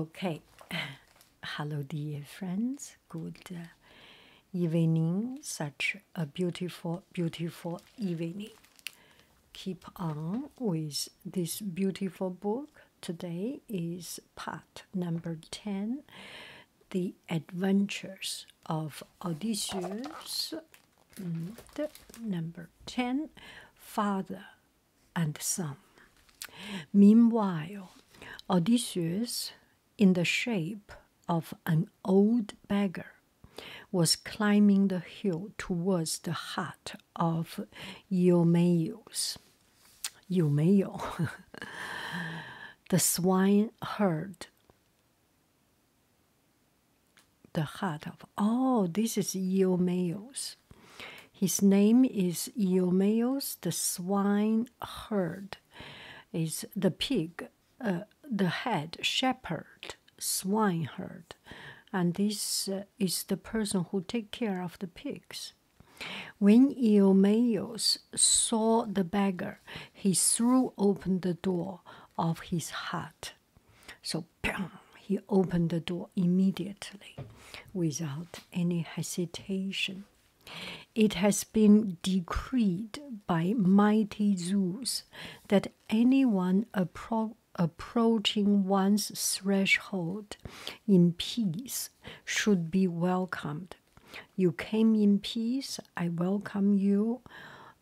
Okay, hello, dear friends. Good uh, evening. Such a beautiful, beautiful evening. Keep on with this beautiful book. Today is part number 10 The Adventures of Odysseus, mm, number 10 Father and some. Meanwhile, Odysseus, in the shape of an old beggar, was climbing the hill towards the hut of Eumaeus. Eumeo, the swineherd. The hut of oh, this is Eumaeus. His name is Iomeos, the swine herd, is the pig, uh, the head shepherd, swineherd, and this uh, is the person who take care of the pigs. When Iomeos saw the beggar, he threw open the door of his hut. So he opened the door immediately without any hesitation. It has been decreed by mighty Zeus that anyone approaching one's threshold in peace should be welcomed. You came in peace, I welcome you.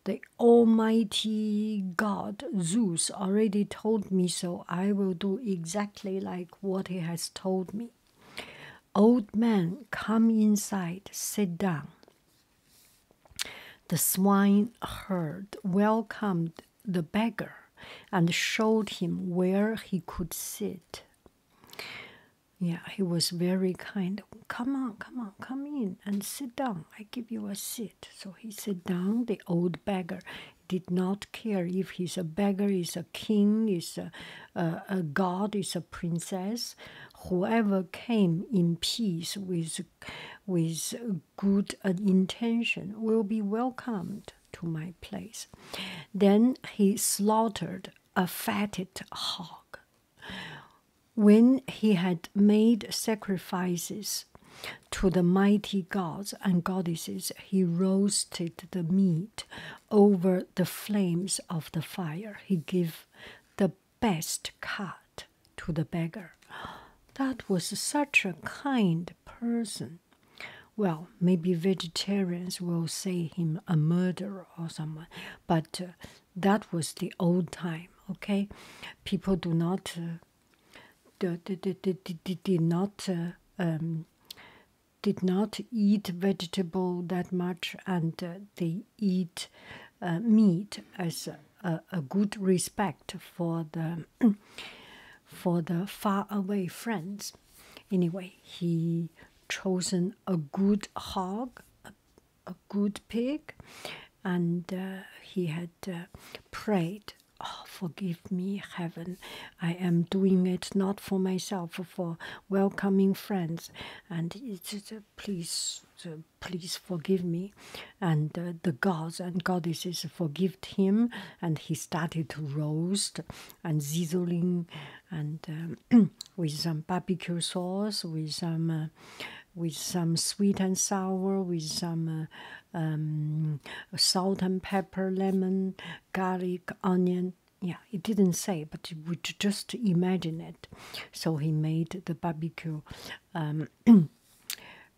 The Almighty God Zeus already told me so. I will do exactly like what he has told me. Old man, come inside, sit down. The swineherd welcomed the beggar and showed him where he could sit. Yeah, he was very kind. Come on, come on, come in and sit down. I give you a seat. So he sat down, the old beggar did not care if he's a beggar, is a king, is a, a, god, is a princess. Whoever came in peace with, with good intention will be welcomed to my place. Then he slaughtered a fatted hog. When he had made sacrifices, to the mighty gods and goddesses, he roasted the meat over the flames of the fire. He gave the best cut to the beggar. That was such a kind person. Well, maybe vegetarians will say him a murderer or someone, but uh, that was the old time, okay? People do not uh, did not uh, um, did not eat vegetable that much, and uh, they eat uh, meat as a, good respect for the for the far away friends. Anyway, he chosen a good hog, a, good pig, and uh, he had prayed Oh, forgive me, heaven. I am doing it not for myself, for welcoming friends. And uh, please, uh, please forgive me. And uh, the gods and goddesses forgave him. And he started to roast and sizzling and um, with some barbecue sauce, with some. with some sweet and sour, with some um, salt and pepper, lemon, garlic, onion. Yeah, he didn't say, but we just imagine it. So he made the barbecue, um,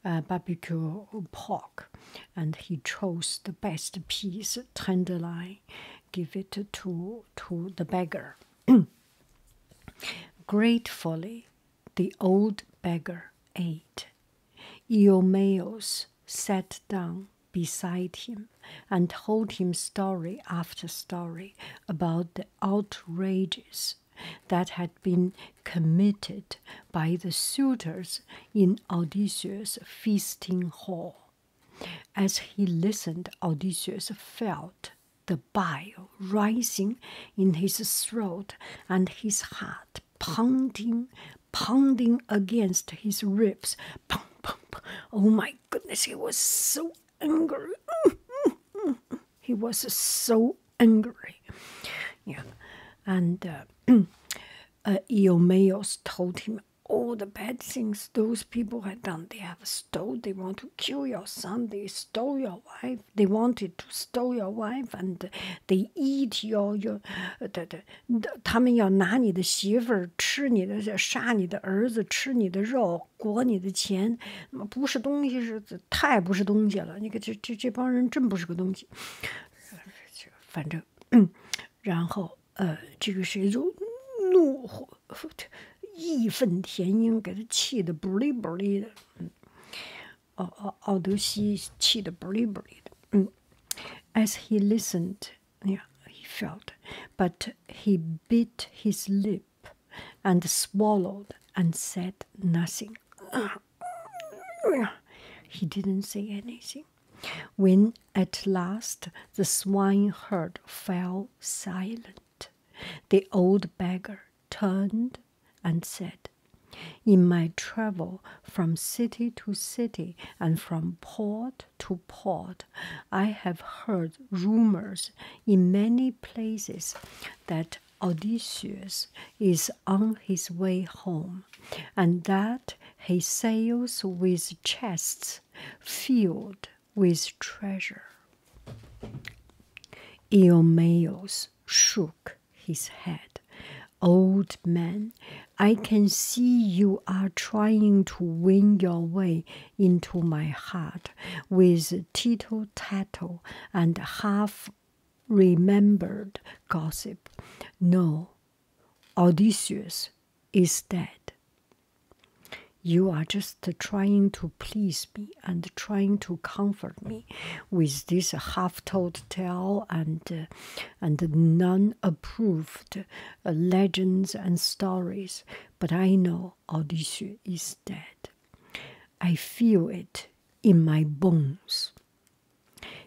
uh, barbecue pork, and he chose the best piece, tenderloin, give it to to the beggar. Gratefully, the old beggar ate Eumaeus sat down beside him and told him story after story about the outrages that had been committed by the suitors in Odysseus' feasting hall. As he listened, Odysseus felt the bile rising in his throat and his heart pounding pounding against his ribs. Pum, pum, Oh my goodness, he was so angry. he was so angry. Yeah. And Iomaios uh, uh, told him all the bad things those people had done. They have stole, they want to kill your son, they stole your wife, they wanted to steal your wife, and uh, 得一条要，呃，对对，他们要拿你的媳妇儿吃你的，杀你的儿子吃你的肉，裹你的钱，那不是东西，是太不是东西了。你看这这这帮人真不是个东西，反正，嗯，然后呃，这个谁就怒火义愤填膺，给他气的不哩不哩的，嗯。although she cheated As he listened, yeah, he felt, but he bit his lip and swallowed and said nothing. he didn't say anything. When at last the swineherd fell silent, the old beggar turned and said, In my travel from city to city and from port to port, I have heard rumors in many places that Odysseus is on his way home, and that he sails with chests filled with treasure. Eumaeus shook his head. Old man, I can see you are trying to win your way into my heart with tittle tattle and half remembered gossip. No, Odysseus is dead. You are just trying to please me and trying to comfort me with this half told tale and uh, and none approved uh, legends and stories, but I know Odysseus is dead. I feel it in my bones.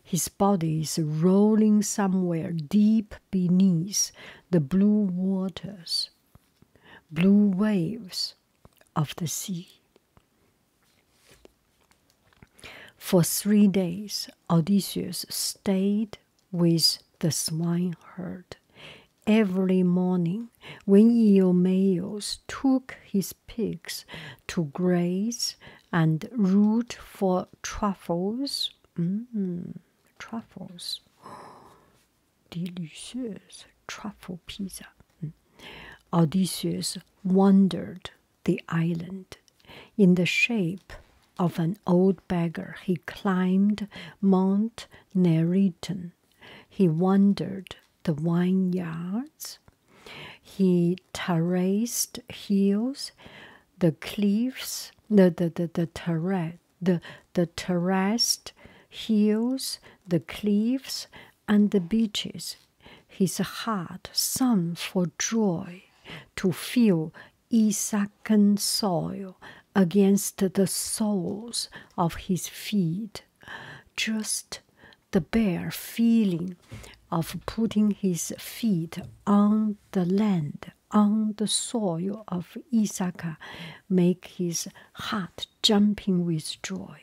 His body is rolling somewhere deep beneath the blue waters, blue waves of the sea. For three days, Odysseus stayed with the swineherd. Every morning, when Eumaeus took his pigs to graze and root for truffles, mm, truffles, delicious truffle pizza, mm, Odysseus wondered the island. In the shape of an old beggar, he climbed Mont Neriton. He wandered the vineyards. He terraced hills, the cliffs, the the the the terrace, the the terraced hills, the cliffs, and the beaches his heart sung for joy to feel Isaac's soil against the soles of his feet, just the bare feeling of putting his feet on the land, on the soil of Isaac, make his heart jumping with joy.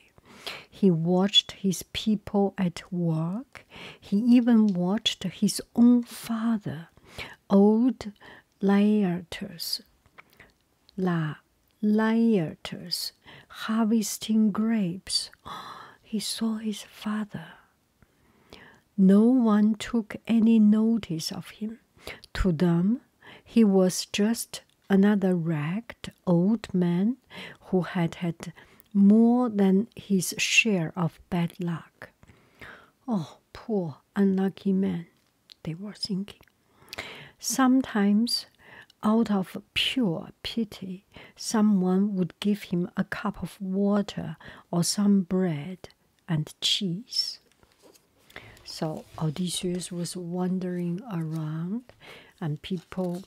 He watched his people at work. He even watched his own father, old Laertes, La Laertes, harvesting grapes. He saw his father. No one took any notice of him. To them, he was just another ragged old man who had had more than his share of bad luck. Oh, poor unlucky man, they were thinking. Sometimes, out of pure pity, someone would give him a cup of water or some bread and cheese. So Odysseus was wandering around, and people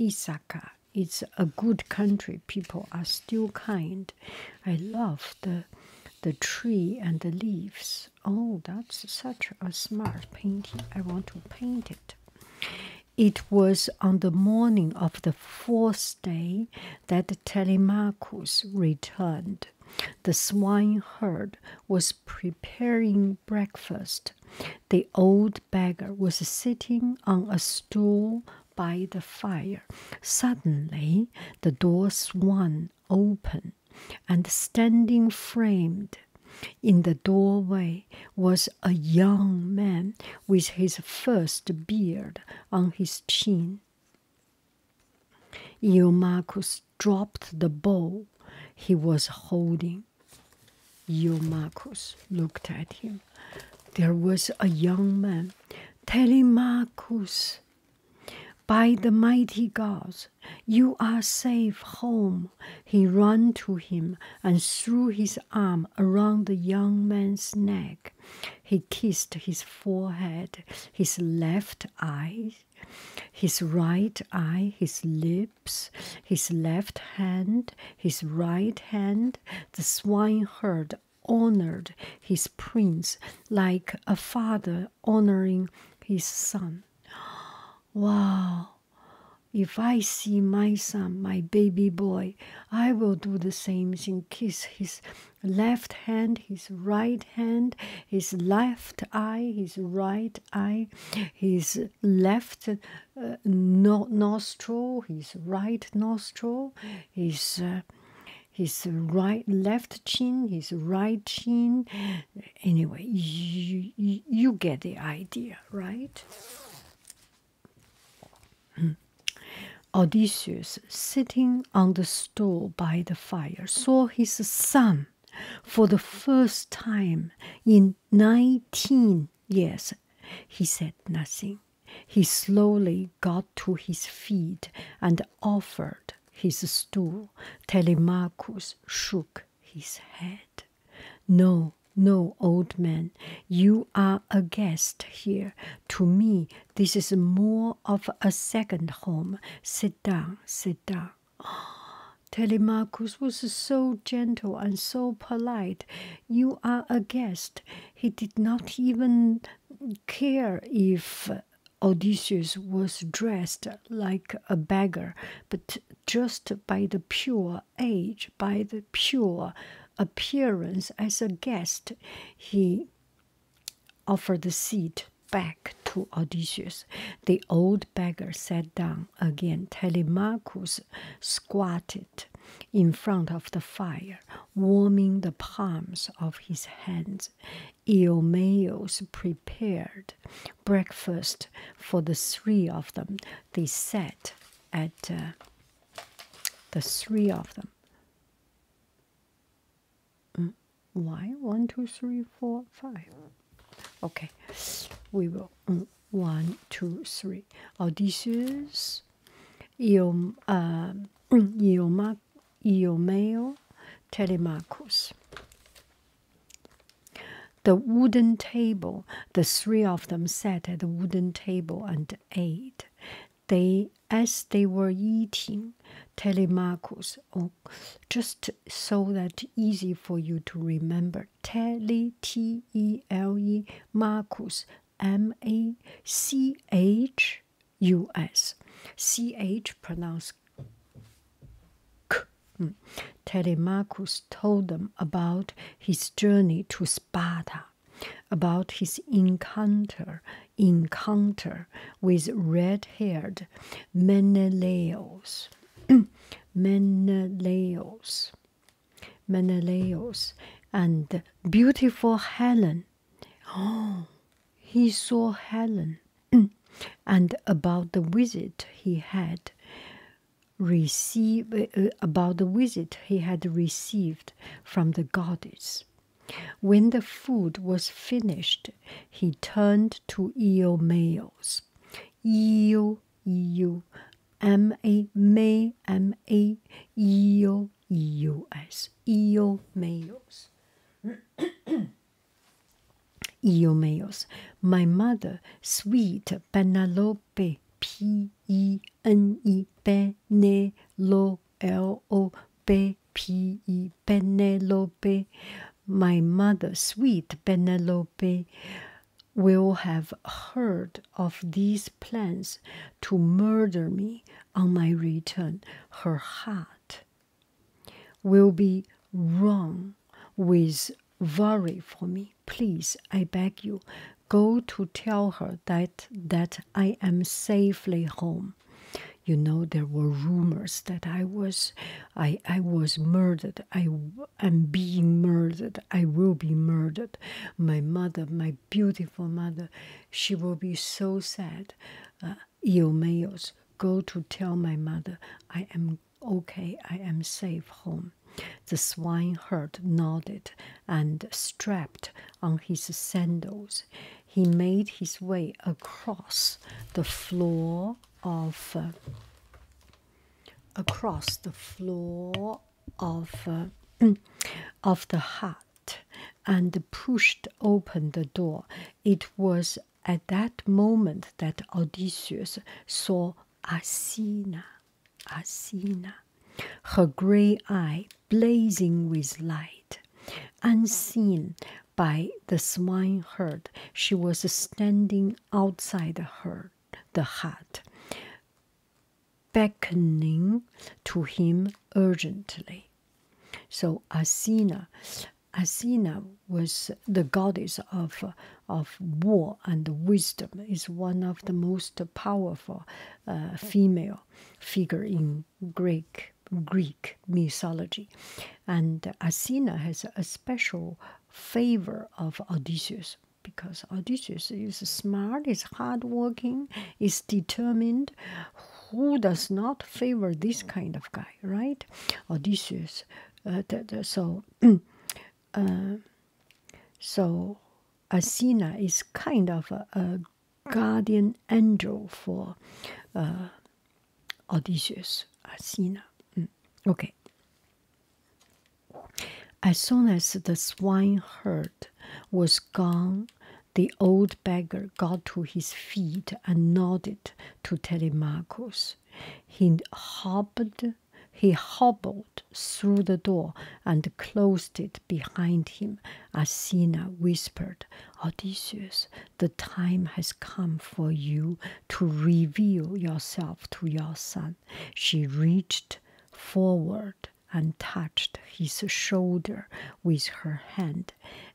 Isaka. It's a good country. People are still kind. I love the the tree and the leaves. Oh, that's such a smart painting. I want to paint it. It was on the morning of the fourth day that Telemachus returned. The swineherd was preparing breakfast, the old beggar was sitting on a stool by the fire. Suddenly, the door swung open, and standing framed in the doorway was a young man with his first beard on his chin. Eumachus dropped the bowl he was holding Iomachus looked at him. There was a young man, Telemachus, by the mighty gods, you are safe home. He ran to him and threw his arm around the young man's neck. He kissed his forehead, his left eye, his right eye, his lip his left hand, his right hand, the swineherd honored his prince like a father honoring his son. Wow! If I see my son, my baby boy, I will do the same thing kiss his left hand, his right hand, his left eye, his right eye, his left uh, nostril, his right nostril, his uh, his right left chin, his right chin. Anyway, you, you get the idea, right? Hmm. Odysseus, sitting on the stool by the fire, saw his son for the first time in nineteen years. He said nothing. He slowly got to his feet and offered his stool. Telemachus shook his head. No, no, old man, you are a guest here. To me, this is more of a second home. Sit down, sit down. Oh, Telemachus was so gentle and so polite. You are a guest. He did not even care if Odysseus was dressed like a beggar, but just by the pure age, by the pure appearance as a guest, he offered the seat back to Odysseus. The old beggar sat down again. Telemachus squatted in front of the fire, warming the palms of his hands. Eumaeus prepared breakfast for the three of them. They sat at uh, the three of them. Mm, why? One, two, three, four, five. Okay, we will. Mm, one, two, three. Odysseus, Iom, uh, Ioma, Telemachus. The wooden table, the three of them sat at the wooden table and ate. They, as they were eating, Telemachus, oh, just so that easy for you to remember, Tele, T E L E Marcus M A C H U S C H pronounced K. Mm. Telemachus told them about his journey to Sparta, about his encounter encounter with red-haired Menelaus. Menelaus. Menelaus and beautiful Helen. Oh, he saw Helen and about the visit he had received uh, uh, about the visit he had received from the goddess. When the food was finished, he turned to Eomaeus eel, eel, m a My mother, sweet Penelope, p e n e Penelope, l o p p e Penelope. My mother, sweet Penelope, will have heard of these plans to murder me on my return, her heart will be wrung with worry for me. Please, I beg you, go to tell her that that I am safely home. You know there were rumors that I was, I I was murdered. I I'm being murdered. I will be murdered. My mother, my beautiful mother, she will be so sad. Uh, go to tell my mother I am okay, I am safe home. The swineherd nodded and strapped on his sandals. He made his way across the floor of uh, across the floor of uh, of the hut and pushed open the door. It was at that moment that Odysseus saw Asina, Asina, her grey eye blazing with light. Unseen by the herd, she was standing outside the herd, the heart, beckoning to him urgently. So Asina, Asina was the goddess of of war and wisdom. Is one of the most powerful uh, female figure in Greek Greek mythology, and Asina has a special favor of Odysseus because Odysseus is smart, is hardworking, is determined. Who does not favor this kind of guy, right? Odysseus. Uh, so, uh, so Athena is kind of a, guardian angel for uh, Odysseus. Athena. Mm. Mm, okay. As soon as the swineherd was gone, the old beggar got to his feet and nodded to Telemachus. He hobbled, he hobbled through the door and closed it behind him. Athena whispered, Odysseus, the time has come for you to reveal yourself to your son. She reached forward and touched his shoulder with her hand.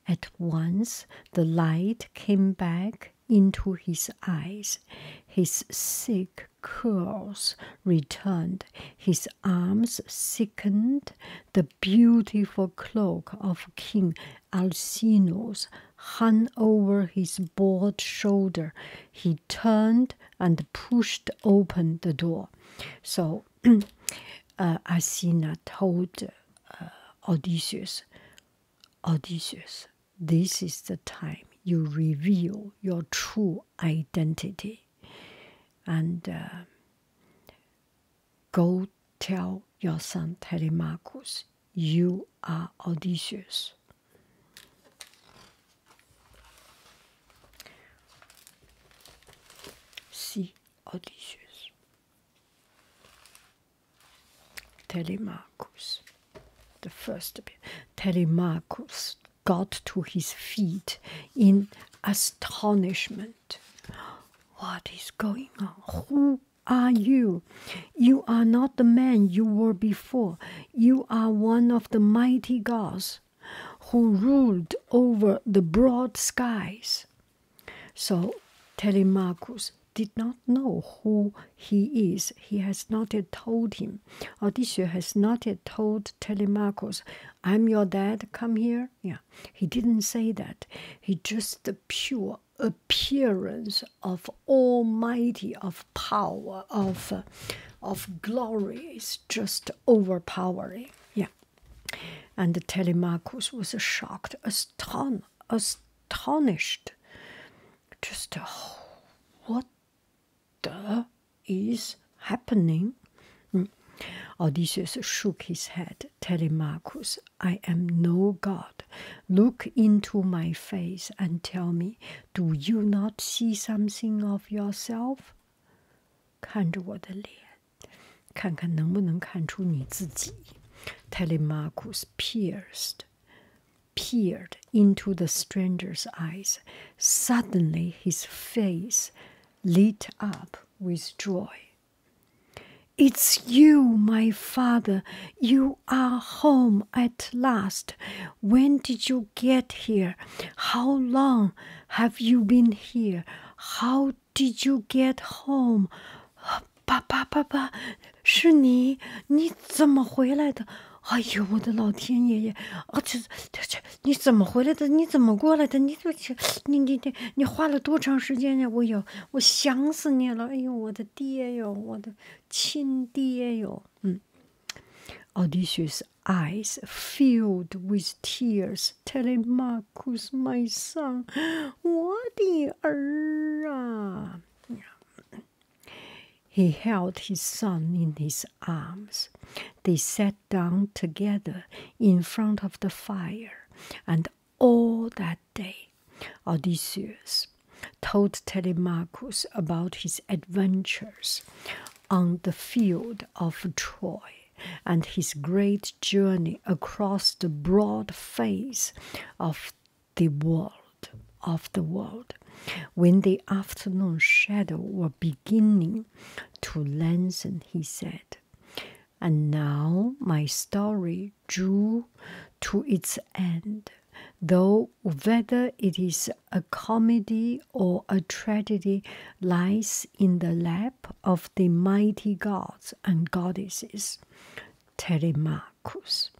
At once the light came back into his eyes. His sick curls returned. His arms sickened. The beautiful cloak of King Alcinous hung over his broad shoulder he turned and pushed open the door. So uh, Athena told uh, Odysseus, Odysseus, this is the time you reveal your true identity. And uh, go tell your son Telemachus you are audacious. See, audacious. Telemachus, the first Telemachus got to his feet in astonishment. What is going on? Who are you? You are not the man you were before. You are one of the mighty gods who ruled over the broad skies. So Telemachus did not know who he is. He has not yet told him. Odysseus has not yet told Telemachus, I'm your dad, come here. Yeah, he didn't say that. He just the pure appearance of Almighty, of power of of glory is just overpowering. Yeah. And Telemachus was shocked, aston astonished. Just oh, what the is happening? Mm. Odysseus shook his head. Telemachus, I am no god. Look into my face and tell me do you not see something of yourself？看着我的脸，看看能不能看出你自己。Telemachus pierced, peered into the stranger's eyes. Suddenly, his face lit up with joy. It's you, my father. You are h o m e at last！When did you get here？How long have you been here？How did you get home？爸爸，爸爸，是你？你怎么回来的？哎呦，我的老天爷爷！啊，这这这，你怎么回来的？你怎么过来的？你怎么？你你你，你花了多长时间呀？我有，我想死你了！哎呦，我的爹哟，我的。 친디에요. Odysseus' eyes filled with tears. Telemachus, my son, what the error! He held his son in his arms. They sat down together in front of the fire, and all that day Odysseus told Telemachus about his adventures on the field of Troy and his great journey across the broad face of the world of the world when the afternoon shadows were beginning to lengthen he said and now my story drew to its end though whether it is a comedy or a tragedy lies in the lap of the mighty gods and goddesses. Telemachus.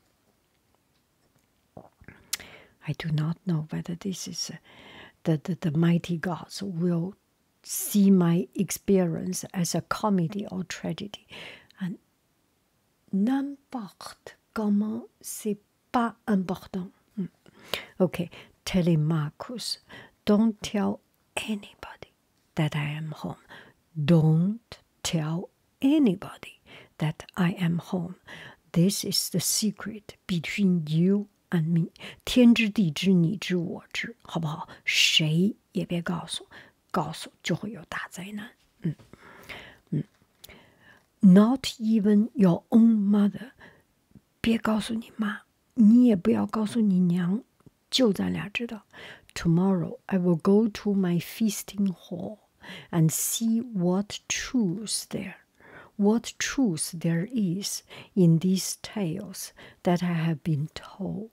I do not know whether this is uh, the, the mighty gods will see my experience as a comedy or tragedy. And N'importe comment, c'est pas important. Hmm. Okay, Telemachus, don't tell anybody that I am home. Don't tell anybody that I am home. This is the secret between you and me. 告诉就会有大灾难。嗯嗯，Not even your own mother，别告诉你妈，你也不要告诉你娘，就咱俩知道。Tomorrow I will go to my feasting hall and see what truths there, what truths there is in these tales that I have been told.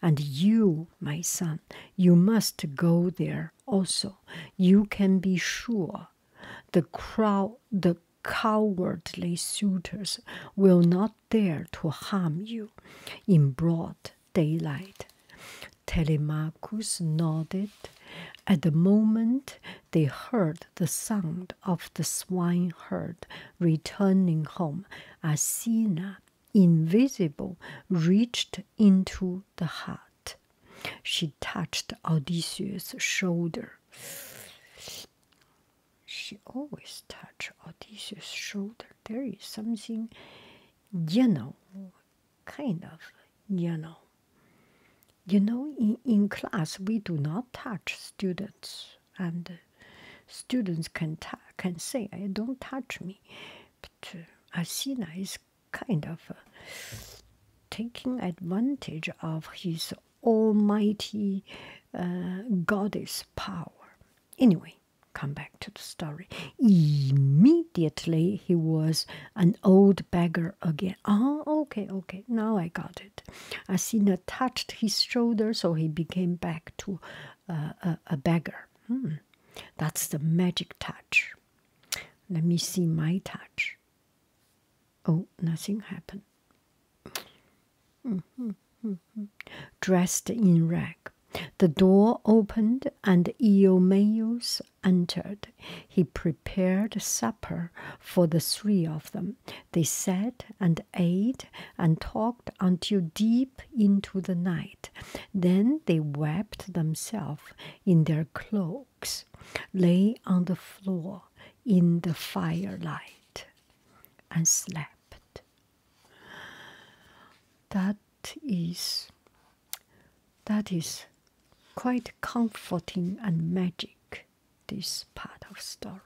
And you, my son, you must go there also you can be sure the crowd the cowardly suitors will not dare to harm you in broad daylight telemachus nodded at the moment they heard the sound of the swine herd returning home asina invisible reached into the heart. She touched Odysseus' shoulder. She always touch Odysseus' shoulder. There is something you know, kind of you know. You know, in, in class we do not touch students, and students can, can say, "I don't touch me," but Asina uh, is kind of uh, taking advantage of his almighty uh, goddess power. Anyway, come back to the story. Immediately he was an old beggar again. Oh, okay, okay, now I got it. Asina touched his shoulder, so he became back to uh, a, beggar. Hmm. That's the magic touch. Let me see my touch. Oh, nothing happened. Dressed in rag, the door opened and Iomeus entered. He prepared supper for the three of them. They sat and ate and talked until deep into the night. Then they wrapped themselves in their cloaks, lay on the floor in the firelight, and slept. That is that is quite comforting and magic this part of story